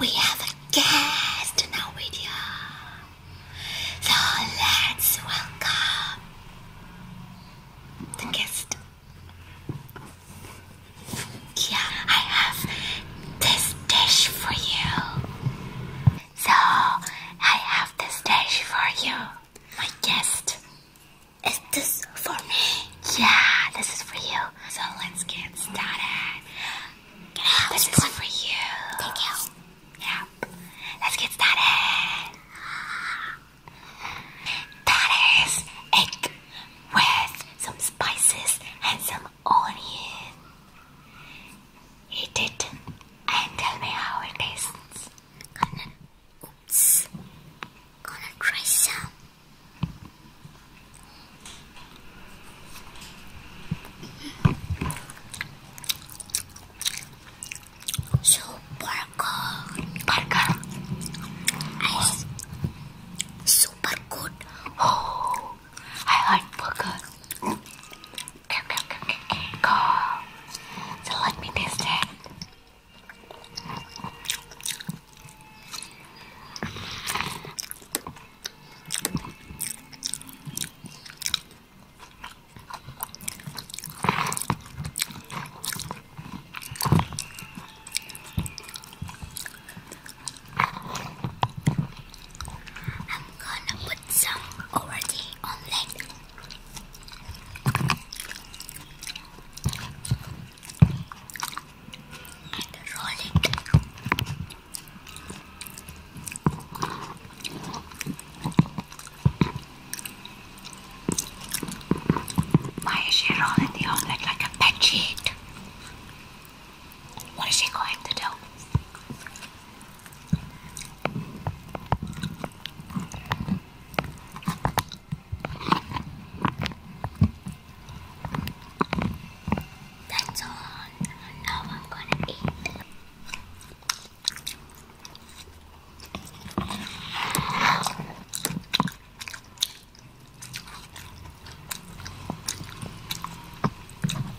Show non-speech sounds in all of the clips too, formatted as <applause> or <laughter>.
we have a guest in our video. So let's welcome the guest. Yeah, I have this dish for you. So I have this dish for you, my guest. Is this for me? Yeah, this is for you. So let's get started. Get out. This, this is one for you. Thank you. Yep. Let's get started. That is egg with some spices and some onion. Eat it and tell me how it tastes. Gonna, oops. Gonna try some. So burger, burger, ice, super good. Oh, I like burger. Okay, okay, okay, okay, okay. So let me taste it. I'm gonna put some already on that. And roll it why is she rolling the omelette like a petite? What is she going to do? That's all. Now I'm gonna eat.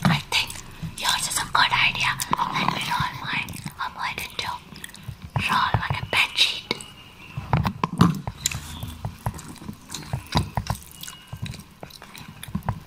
I think yours is a good idea. Let me roll mine. I'm going to roll like a bed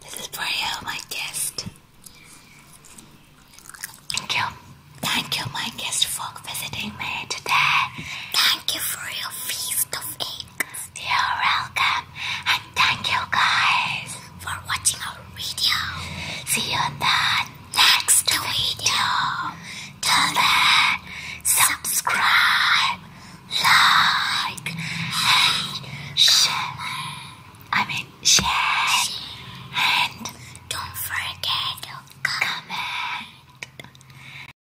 This is for you, my guest. Thank you. Thank you, my guest, for visiting me today. Thank you for your feast of eggs still welcome and thank you guys for watching our video. See you in the next video. Till then, subscribe, like, share. I mean, share. And don't forget to comment.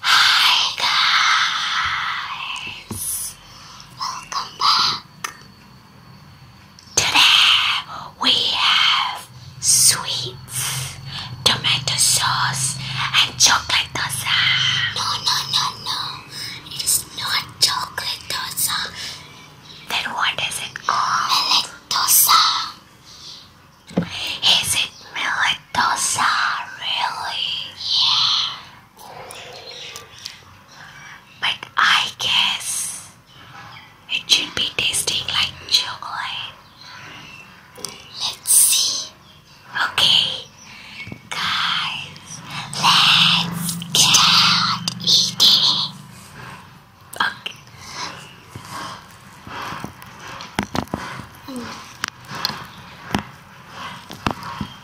Hi guys! Welcome back! Today we have sweets, tomato sauce and chocolate dosa. No, no, no, no. It is not chocolate dosa. Then what is it called? Millet dosa. Is it millet dosa? Really? Yeah. But I guess it should be tasting like chocolate. Let's see. Okay, guys, let's get eating. Okay.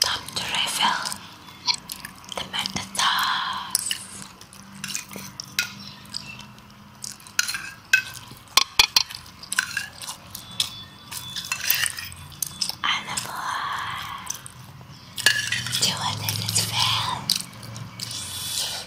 Top to the meta sauce. I love her. Do you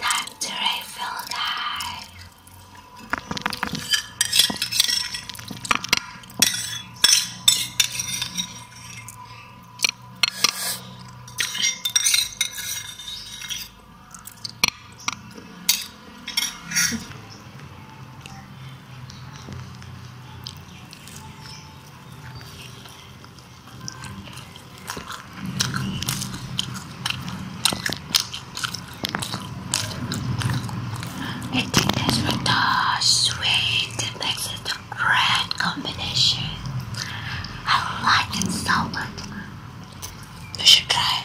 Time to refill, guys. Eating this with the sweet makes it a great combination. I like it so much. should try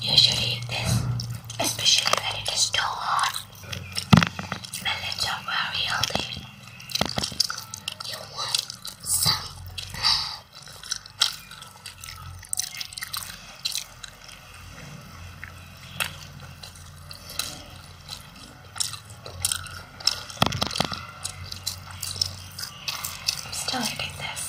You should eat this, especially when it is too hot. Melons are very healthy. You want some? I'm still eating this.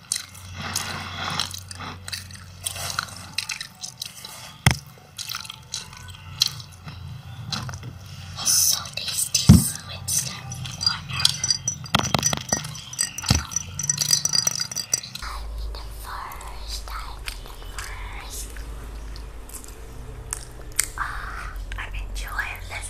It's so tasty with some water. I'm in the I'm in the Ah, I'm enjoying this.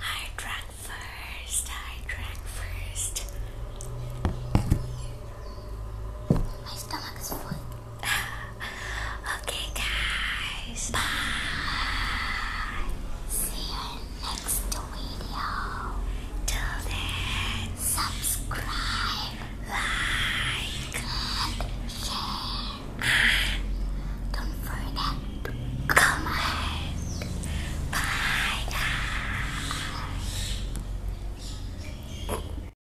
I drank first, I drank first. My stomach is full. <laughs> okay, guys. Bye. See you next video. Till then, subscribe like, share, ah, don't forget comment. Bye, guys.